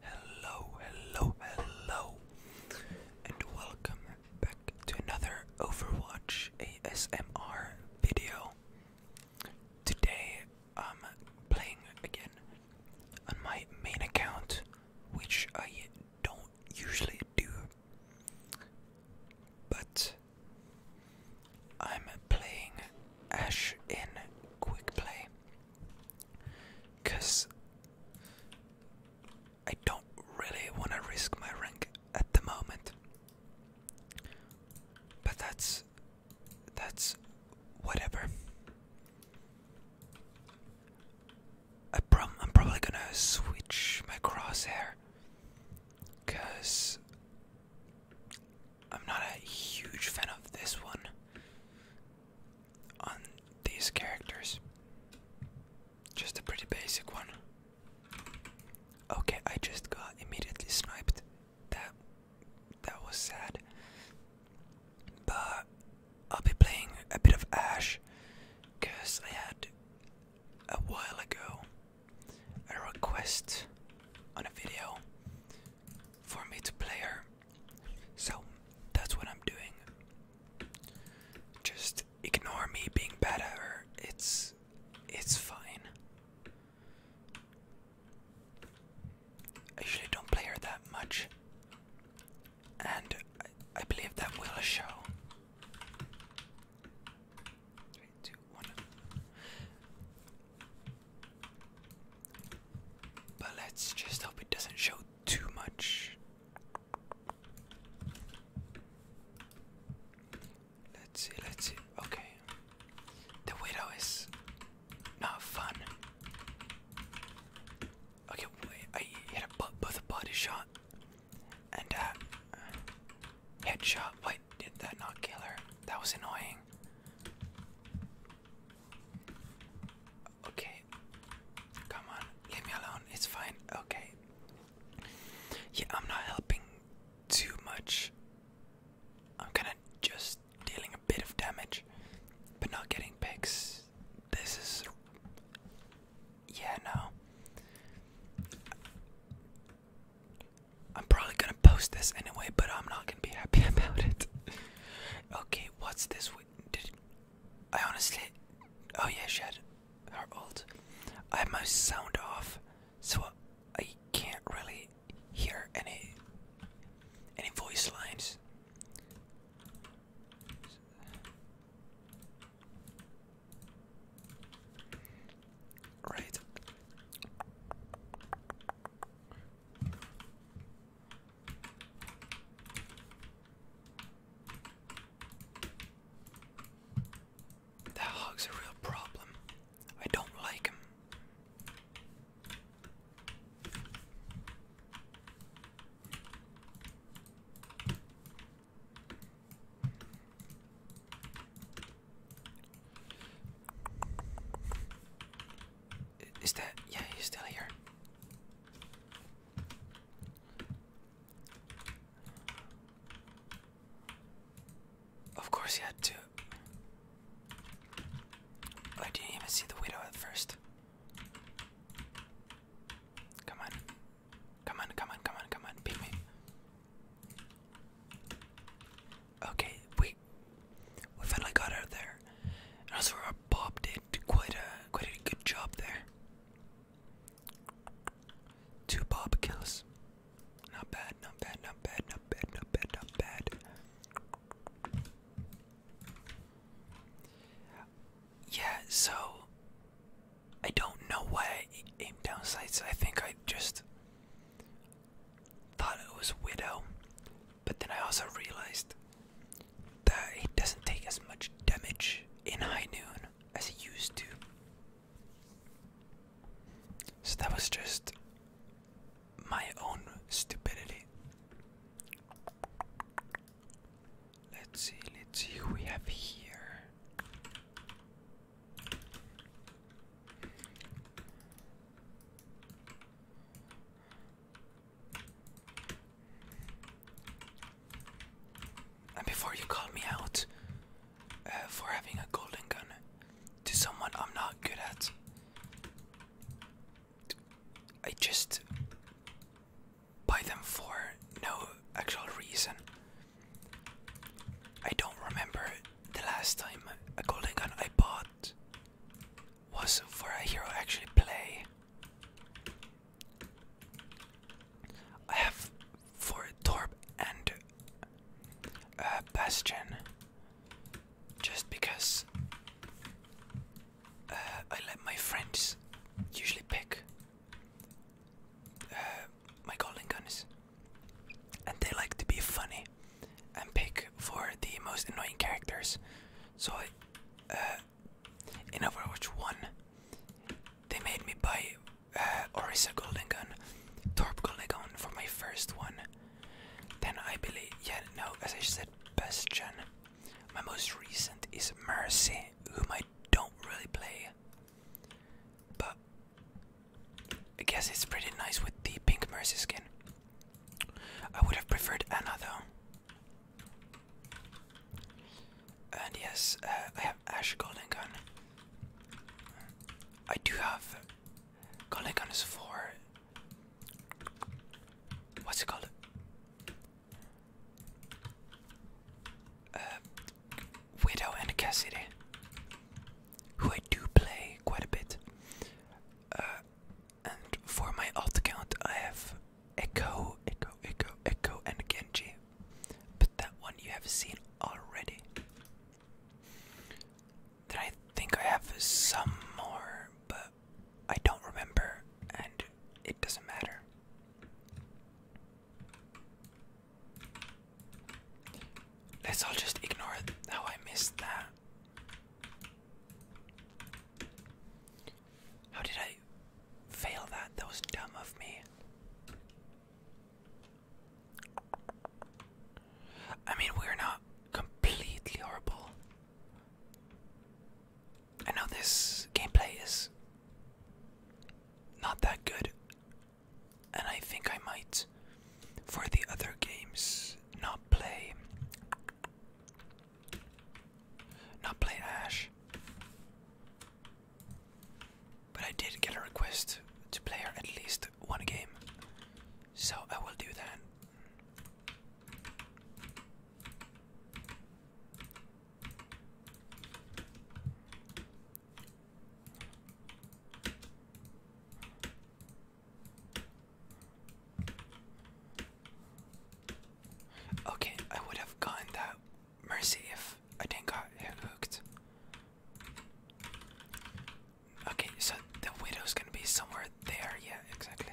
Hello, hello, hello, and welcome back to another Overwatch ASMR video. Today I'm playing again on my main account, which I don't usually do, but I'm playing Ash in Quick Play. Cause I don't really wanna risk my rank at the moment. But that's that's whatever. I prob I'm probably gonna switch my crosshair because I'm not a huge fan of this one on these characters. Just a pretty basic one. Okay, I just got immediately sniped. That that was sad. But I'll be playing a bit of Ash because I had a while ago a request on a video for me to play her so that's what I'm doing. Just ignore me being better. It's it's fine. I usually don't play her that much. And I, I believe that will show. Three, two, one. But let's just hope it doesn't show too much. Let's see, let's see. Okay. The widow is not fun. Okay, wait, I hit a butt. both a butt is shot and a headshot. Why did that not kill her? That was annoying. Okay. Come on, leave me alone. It's fine. Okay. Yeah, I'm not helping too much. I'm kind of just dealing a bit of damage, but not getting picks. This is. Yeah, no. I'm probably gonna post this anyway, but I'm not gonna be happy about it. okay, what's this I honestly. Oh, yeah, she had her ult. I have my sound off, so I can't really hear any any voice lines. Right. That hog's a real problem. I don't like him. Is that yeah? He's still here. Of course, he had to. I didn't even see the widow at first. Come on, come on, come on, come on, come on, beat me. Okay, we we finally got out there. And also our Bob did quite a quite a good job there. Two Bob kills. Not bad, not bad, not bad, not bad, not bad, not bad. Yeah, so I don't know why I aimed down sights. I think I just thought it was Widow, but then I also realized that he doesn't take as much damage in high noon as he used to. So that was just my own stupidity. Let's see, let's see who we have here. And before you call me out uh, for having a golden gun to someone I'm not good at, I just buy them for no actual reason. I don't remember the last time a golden gun I bought was for a hero actually play. I have for Torb and uh, Bastion just because uh, I let my friends usually pick uh, my golden guns and they like to be funny and pick for the most annoying characters so I uh, in Overwatch 1, they made me buy uh, Orisa Golden Gun, Torp Golden Gun for my first one. Then I believe, yeah, no, as I said, Bastion. My most recent is Mercy, whom I don't really play. But I guess it's pretty nice with the pink Mercy skin. I would have preferred Anna though. And yes, uh, I have Ash Golden Gun. I do have Golden Gun is for what's it called? Uh, Widow and Cassidy, who I do play quite a bit. Uh, and for my alt account, I have Echo, Echo, Echo, Echo, and Genji. But that one you have seen already. Then I think I have some more, but I don't remember, and it doesn't matter. Let's all just ignore how I missed that how did I fail that? That was dumb of me. I mean, we're not completely horrible. I know this gameplay is not that good, and I think I might, for the other games, not play not playing Ash. But I did get a request to play her at least one game. So I will do that. Okay, I would have gotten that mercy if I didn't got hooked. Okay, so the widow's gonna be somewhere there. Yeah, exactly.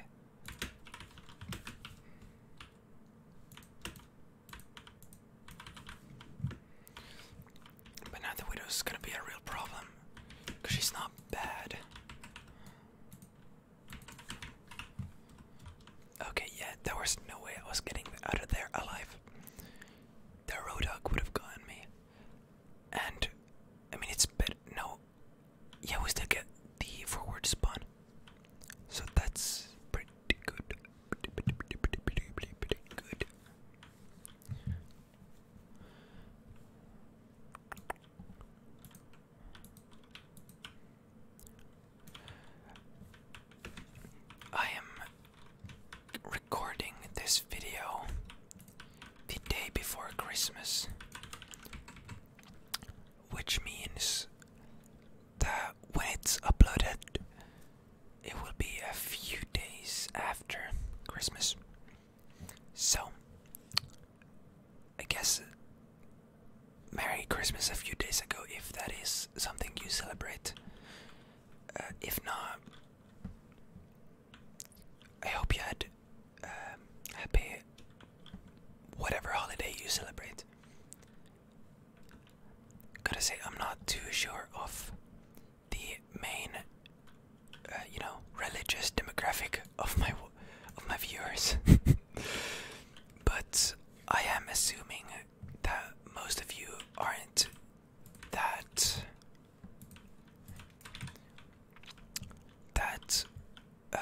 But now the widow's gonna be a real problem, cause she's not bad. Okay, yeah, there was no way I was getting out of there alive. The road would have gotten me. And, I mean, it's better. No. Yeah, we still get the forward spawn. So that's pretty good. pretty good. I am recording this video the day before Christmas, which means that when it's uploaded, it will be a few days after Christmas. So, I guess Merry Christmas a few days ago, if that is something you celebrate. Uh, if not, I hope you had um, happy whatever holiday you celebrate. Gotta say, I'm not too sure of the main, uh, you know, religious demographic of my of my viewers. but I am assuming that most of you aren't that that uh,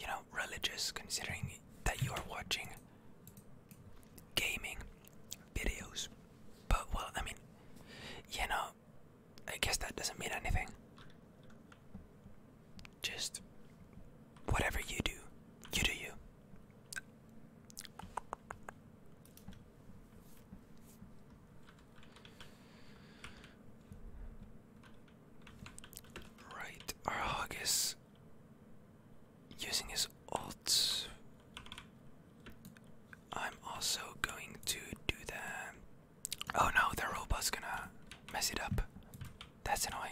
you know religious, considering that you are watching gaming videos. But well, I mean, you know, I guess that doesn't mean anything just whatever you do, you do you. Right, our using his alt. I'm also going to do the. Oh no, the robot's gonna mess it up. That's annoying.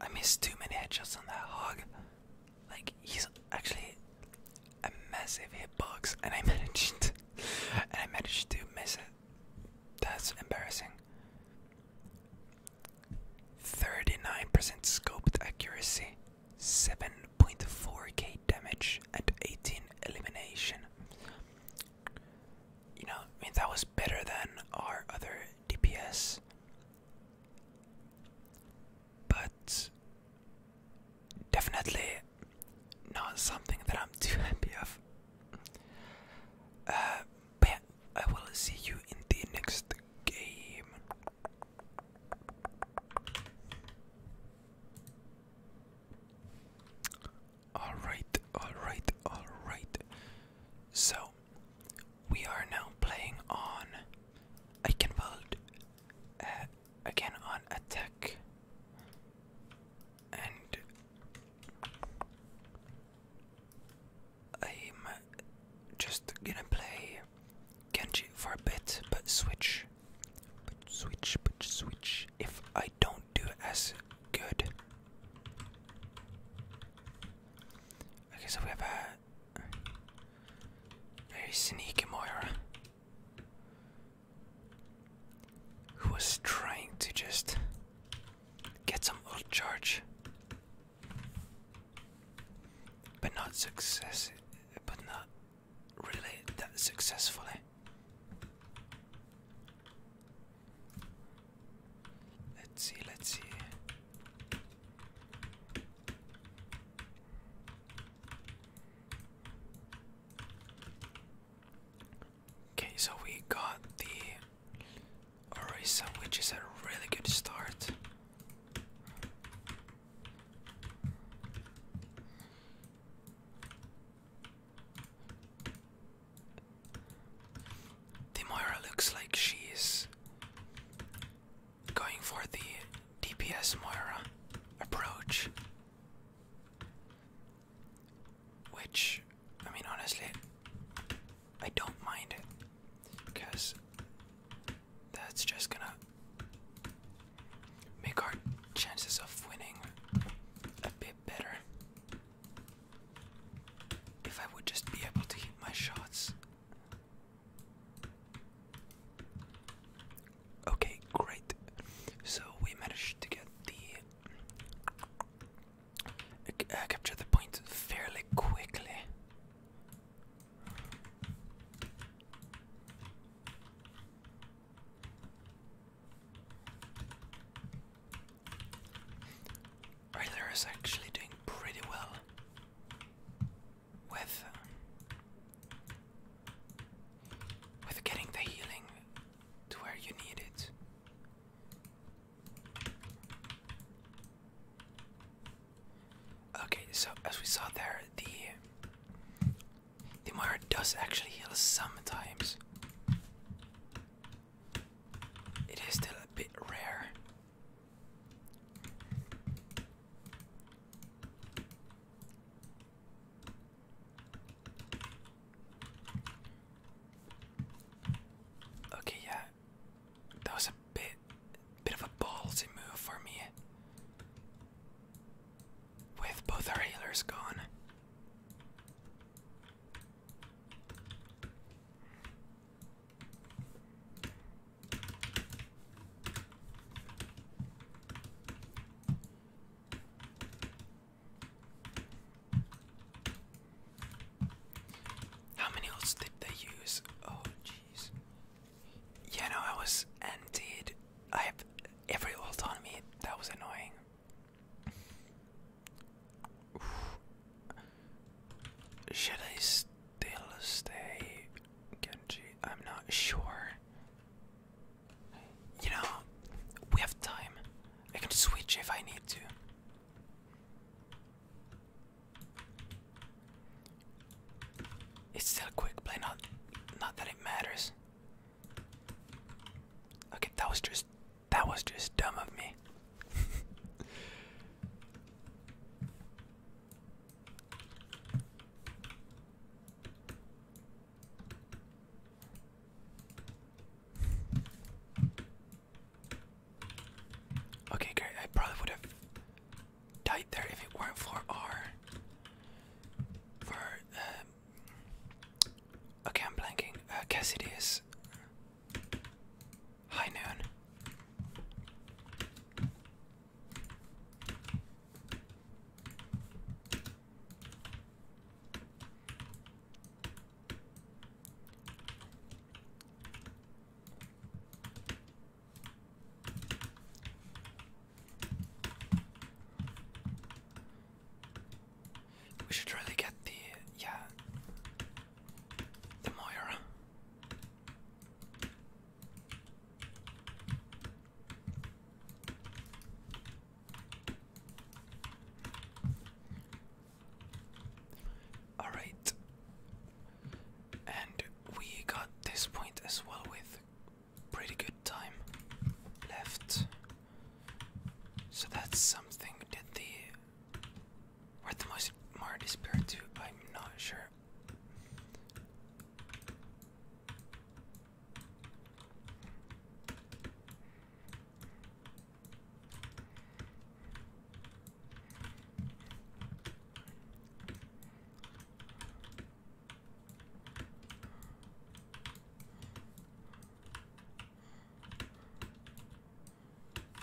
I missed too many headshots on that hog. Like, he's actually a massive hitbox, and I managed, and I managed to miss it. That's embarrassing. 39% scoped accuracy, 7.4k damage at 18 elimination. You know, I mean, that was better than our other DPS. But definitely not something that I'm too happy of. Uh, but I will see you in the next game. All right, all right, all right. So we are now playing on. I can build uh, again on attack and I'm just gonna play Genji for a bit, but switch but switch, but switch. If I don't do as good. Okay, so we have a very sneaky Moira who was trying to just get some ult charge, but not success, but not relate that successfully. Let's see, let's see. Okay, so we got the Orisa, which is a really good start. Demoira looks like she is going for the DPS Moira approach. Which, I mean, honestly, I don't mind it because that's just gonna make our chances of winning a bit better. If I would just be able to hit my shots. Okay, great. So we managed to get the. Uh, capture the point fairly quickly. Ryder is actually doing pretty well with uh, with getting the healing to where you need it. Okay, so as we saw there, the the mirror does actually heal sometimes. It is still a bit rare. Okay, yeah. That was a bit bit of a ballsy move for me with both our healers gone. How many ults did they use? Oh, jeez. Yeah, no, I was emptied. I have every ult on me. That was annoying. Should I still stay, Genji? I'm not sure. You know, we have time. I can switch if I need to. It's still quick play, not not that it matters. Okay, that was just that was just dumb of me. okay, great. I probably would have died there if it weren't for our for um, Okay, I'm blanking. Uh, Cassidy is high noon. We should really get the yeah the Moira. All right, and we got this point as well with pretty good time left. So that's something. that the where the most Marty spirit to? I'm not sure.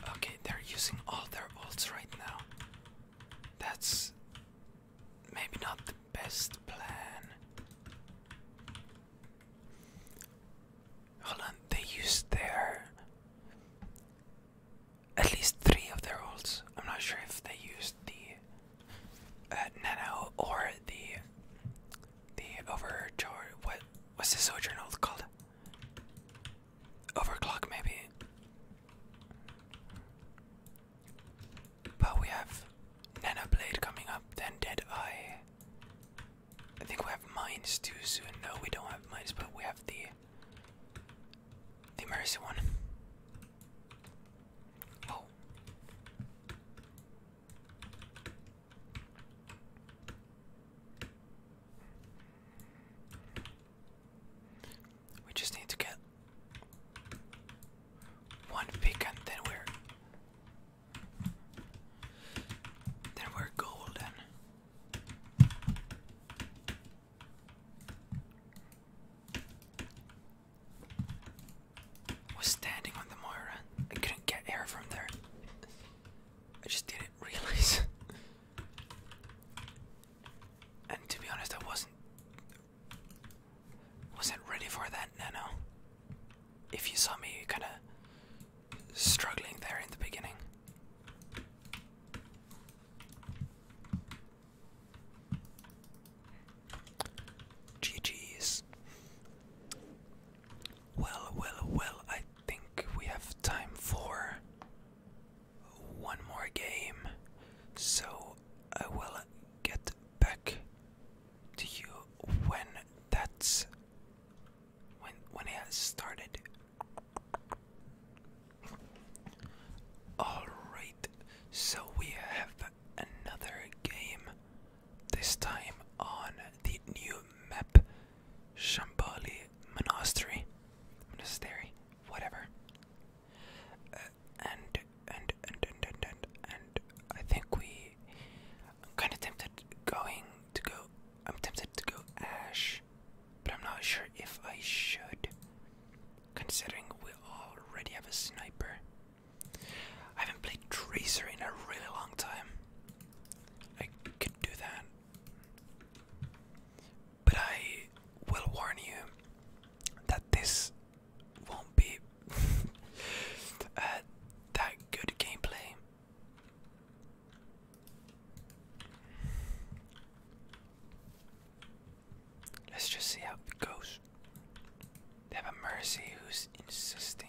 Okay, they're using all their ults right now. That's maybe not the best plan. Hold on, they used their. At least three of their ults. I'm not sure if they used the uh, Nano or the the overcharge. What? What's this sojourn called? Overclock, maybe. But we have Nanoblade coming up, then Dead Eye. I think we have mines too soon. No, we don't have mines, but we have the the mercy one. Oh. We just need to get one pick and then we're then we're golden was standing on the Moira. I couldn't get air from there. I just didn't realize. and to be honest, I wasn't wasn't ready for that nano. If you saw me kind of struggling there in the beginning. GG's. Well, well, well, I think we have time for one more game. So I will get back to you when that's when when it has started. All right. So we have another game, this time on the new map Shambhali Monastery. Monastery, whatever. Uh, and, and, and, and, and, and, I think we. I'm kind of tempted going to go. I'm tempted to go Ash, but I'm not sure if I should, considering we already have a sniper. I haven't played Tracer in a really long time. I could do that. But I will warn you that this won't be uh, that good gameplay. Let's just see how it goes. They have a mercy who's insisting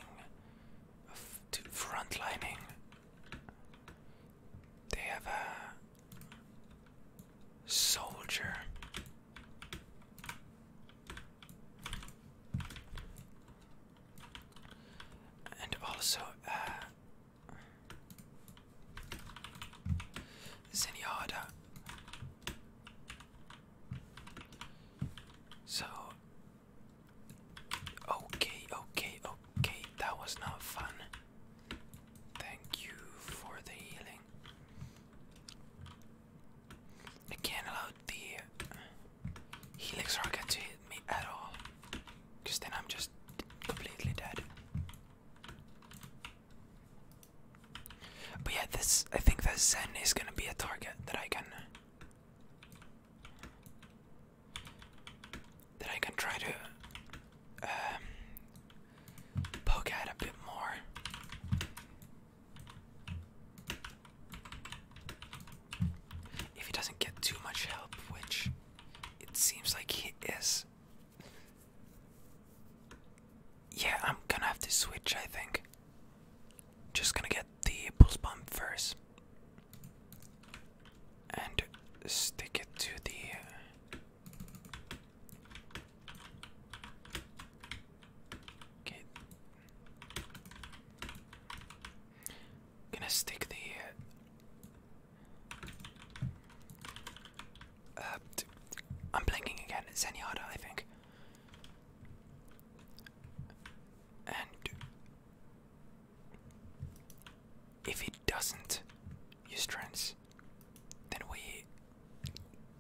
to frontlining. They have a soldier. And also, uh, Zenyatta. So, Okay, okay, okay, that was not fun. Thank you for the healing. I can't allow the Helix Rocket to hit me at all, because then I'm just completely dead. But yeah, this I think the Zen is gonna be a target that I can then I can try to um, poke at a bit more. If he doesn't get too much help, which it seems like he is. Yeah, I'm gonna have to switch, I think. Just gonna get the pulse bomb first and stick it to the. Okay. Gonna stick the. Uh, I'm blinking again. Zenyatta, I think and if it doesn't use trends, then we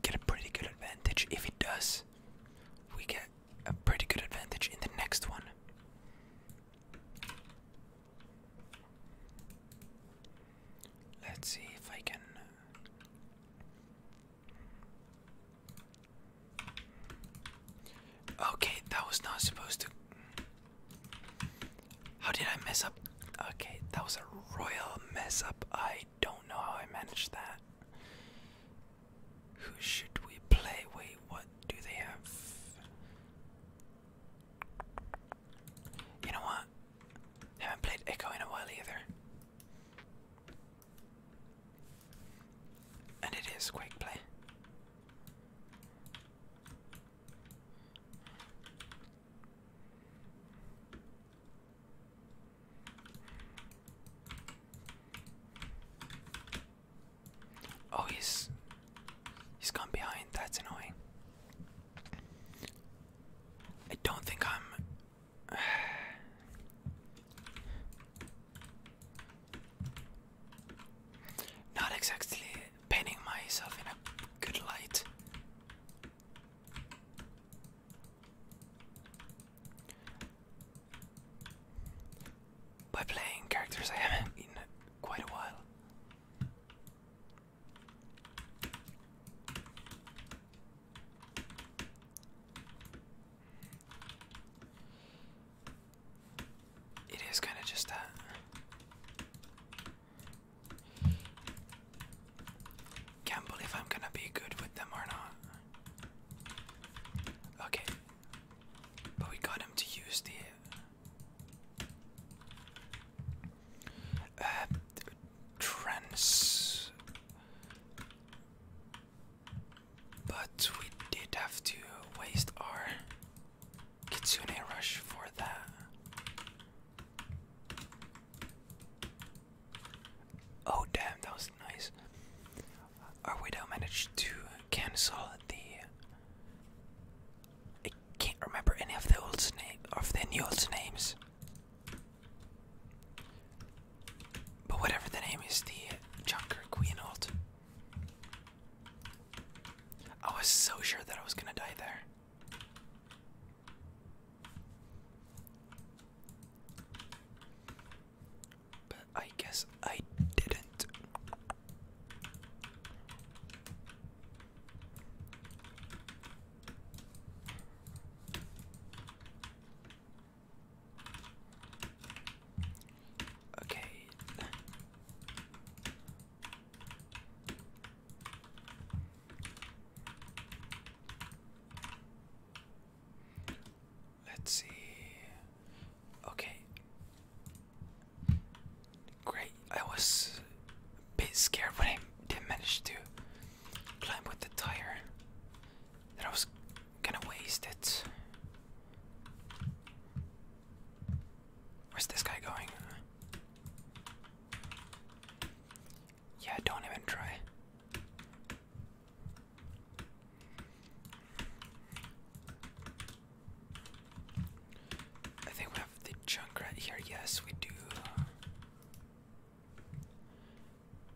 get a pretty good advantage. If it does, we get a pretty good advantage in the next one. Let's see if I can. Uh, Okay, that was not supposed to. How did I mess up? Okay, that was a royal mess up. I don't know how I managed that. Who should we play? Wait, what do they have? You know what? Haven't played Echo in a while either. And it is quick play. Oh, he's he's gone behind. That's annoying. I don't think I'm. Not exactly painting myself in a good light. By playing characters I haven't in quite a while. It is kind of just that. Can't believe I'm gonna be good with them or not. Okay. we got him to use the uh, trans but we did have to waste our Kitsune Rush for that. Oh, damn, that was nice. Our Widow managed to cancel the. I can't remember any of the old name of the new old names. But whatever the name is, the Junker Queen ult. I was so sure that I was gonna die there. But I guess I didn't. Okay. Let's see. Okay. Great. I was a bit scared but I didn't manage to climb with the tire. That I was gonna waste it. Where's this guy going? Yeah, don't even try. I think we have the junk right here. Yes, we do.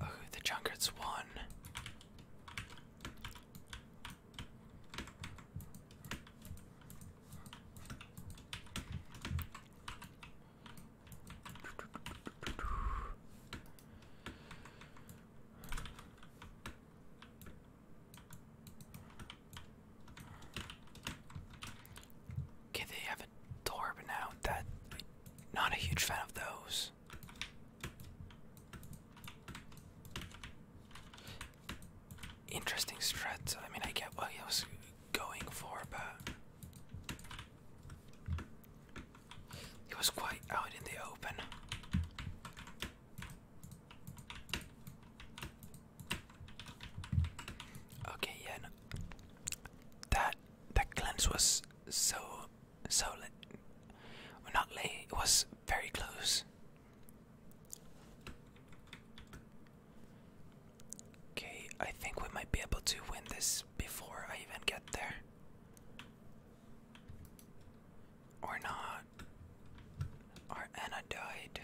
Oh, the Junkets won. Okay, they have a door, but now. That not a huge fan of those. Interesting strat. I mean, I get what he was going for, but he was quite out in the open. Okay, yeah, that that cleanse was so so not late. It was very close. Okay, I think we might be able to win this before I even get there. Or not. Our Anna died.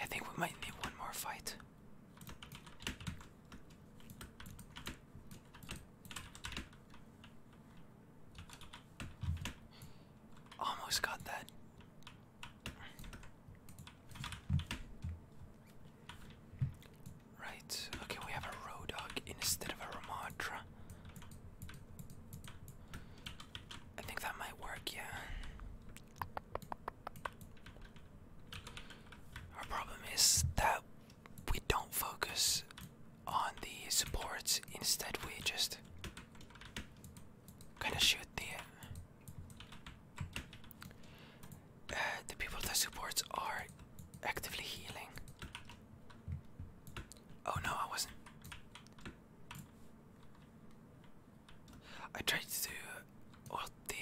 I think we might need one more fight. Almost got that. Right, okay, we have a Rodog instead of a Ramatra. I think that might work, yeah. Our problem is that we don't focus on the supports, instead, we just kind of shoot the, uh, the people that supports are actively healing. Oh no, I wasn't. I tried to do all the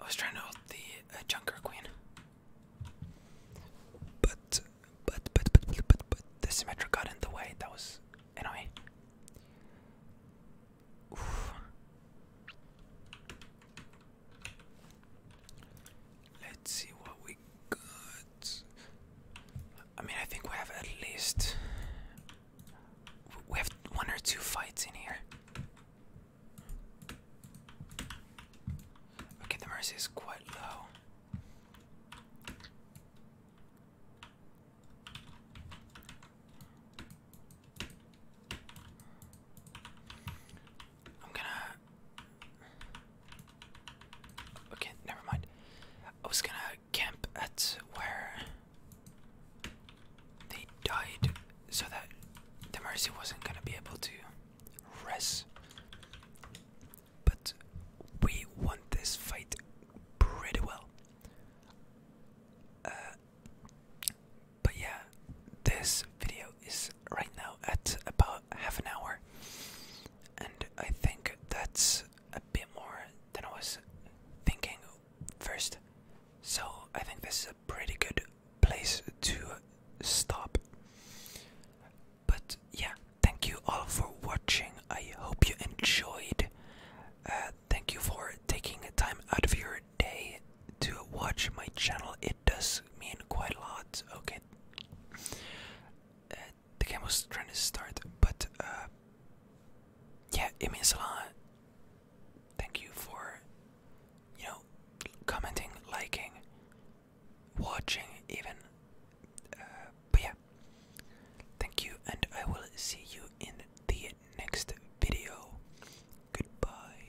I was trying to hold the uh, Queen. But, but, but, but, but, but, the Symmetra got in the way. That was annoying. Let's see what we got. I mean, I think we have at least. We have one or two fights in here. Okay, the mercy is quite low. I'm gonna Okay, never mind. I was gonna camp at where they died so that the Mercy wasn't gonna be able to rest. But we won this fight pretty well. Uh, but yeah, this video is right now at about half an hour and I think that's a bit more than I was thinking first. So I think this is a pretty good place to stop. But yeah, thank you all for watching. I hope you enjoyed. Uh, thank you for taking time out of your day to watch my channel. It does mean quite a lot. Okay. Uh, the game was trying to start, but uh, yeah, it means a lot. Thank you for, you know, commenting, liking, watching, even. Uh, but yeah, thank you, and I will see you in the next video. Goodbye.